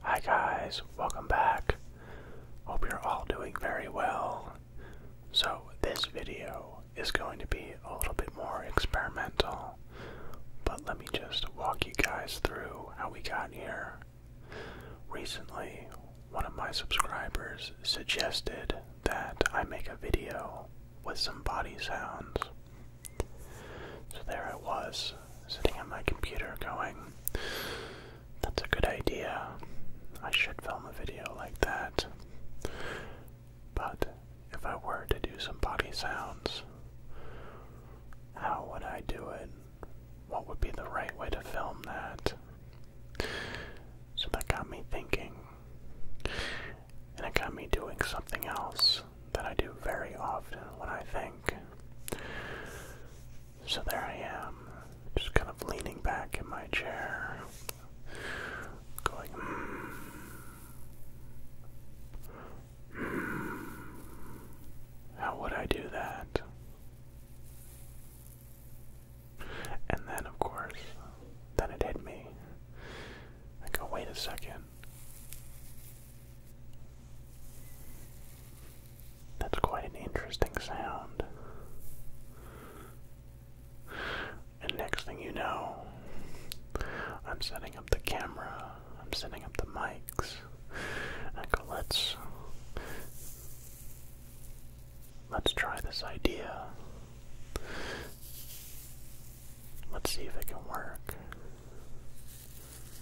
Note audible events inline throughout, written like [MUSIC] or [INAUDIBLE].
Hi guys, welcome back. Hope you're all doing very well. So, this video is going to be a little bit more experimental, but let me just walk you guys through how we got here. Recently, one of my subscribers suggested that I make a video with some body sounds, so there I was, sitting at my computer going, that's a good idea. I should film a video like that. But if I were to do some body sounds, how would I do it? What would be the right way to film that? So that got me thinking. And it got me doing something else that I do very often when I think. So there I am, just kind of leaning back in my chair, going, mm, mm, how would I do that? And then, of course, then it hit me. I go, wait a second. That's quite an interesting sound. And next thing you know, I'm setting up the camera, I'm setting up the mics. let's let's try this idea. Let's see if it can work.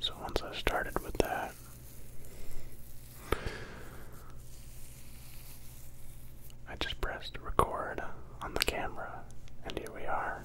So once I started with that, I just pressed record on the camera, and here we are.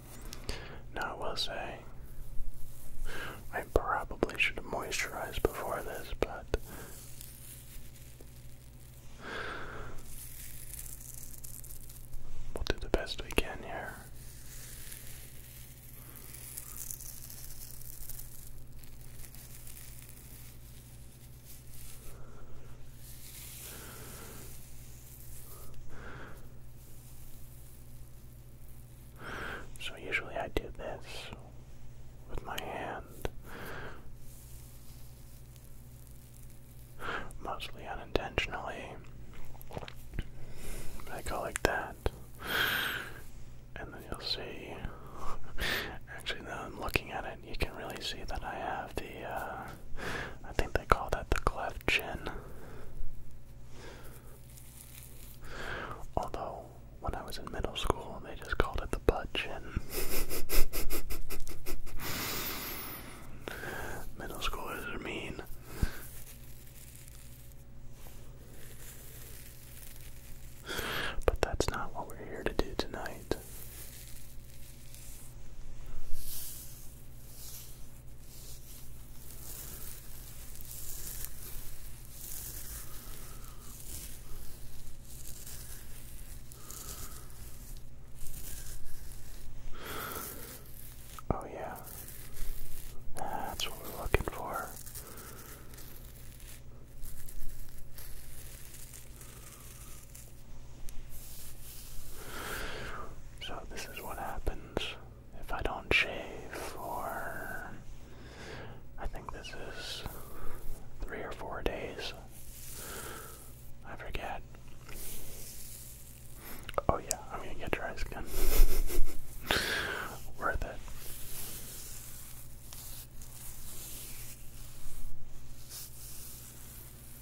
Now, I will say, I probably should have moisturized before this, but. We'll do the best we can here. So usually I do this with my hand, mostly unintentionally. I go like that, and then you'll see. Actually, now I'm looking at it, you can really see that I have the, uh, I think they call that the cleft chin. Although, when I was in middle school, they just called it the butt chin. [LAUGHS] middle schoolers are mean. But that's not what we're here to do tonight. Oh, yeah, that's what we're looking for. So, this is what happens if I don't shave for, I think this is three or four days. I forget. Oh yeah, I'm gonna get dry skin. [LAUGHS] Worth it.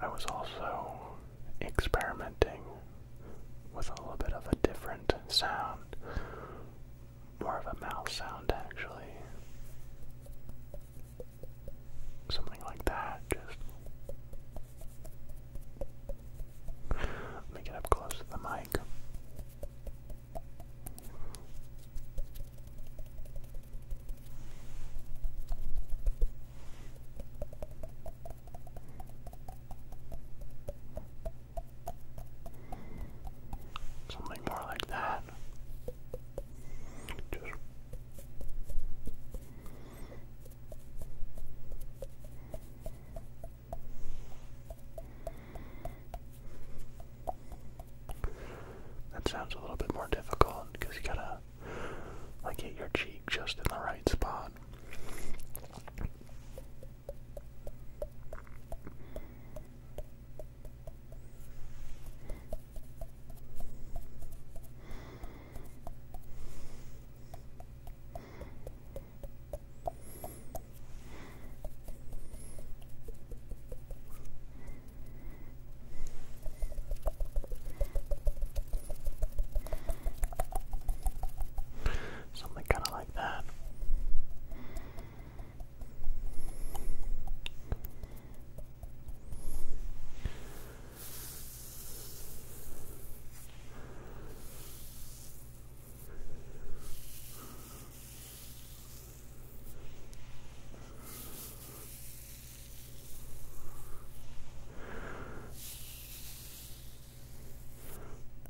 I was also experimenting with a little bit of a different sound, more of a mouth sound actually. Something like that, just. Let me up close to the mic. Something more like that. that sounds a little bit more difficult because you gotta I hit your cheek just in the right spot. Something kind of like that.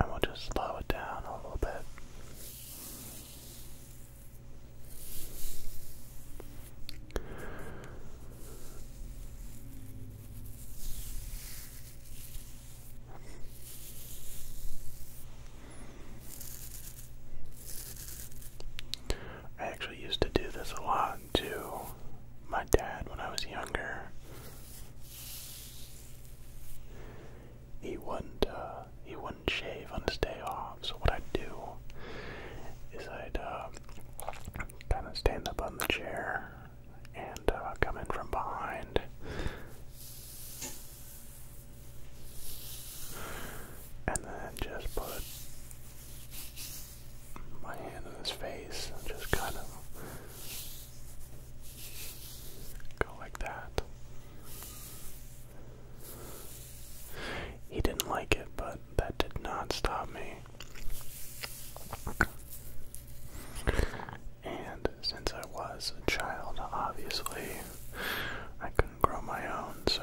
And we'll just slow it down a little bit. I actually used to do this a lot to my dad when I was younger. He wouldn't uh, he wouldn't shave on his day off, so what I'd do is I'd um, kind of stand up on the chair and uh, come in from behind and then just put my hand in his face just kind of go like that. He didn't like it, but that did not stop me. And since I was a child, obviously, I couldn't grow my own, so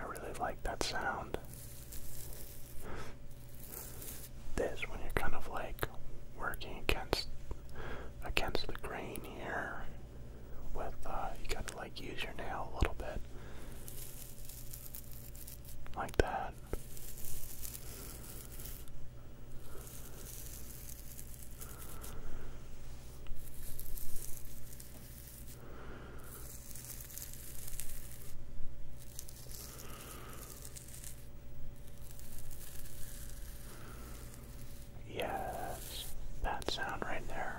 I really like that sound. This when you're kind of like working against against the grain here with uh you gotta like use your nail a little bit. Like that. Yes, that sound right there.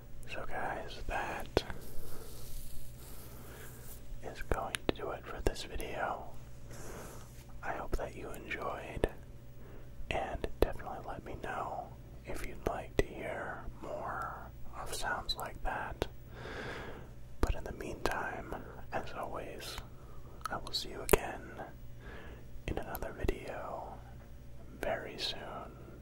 So, guys, that is going to do it for this video. I hope that you enjoyed, and definitely let me know if you'd like to hear more of sounds like that. But in the meantime, as always, I will see you again in another video very soon.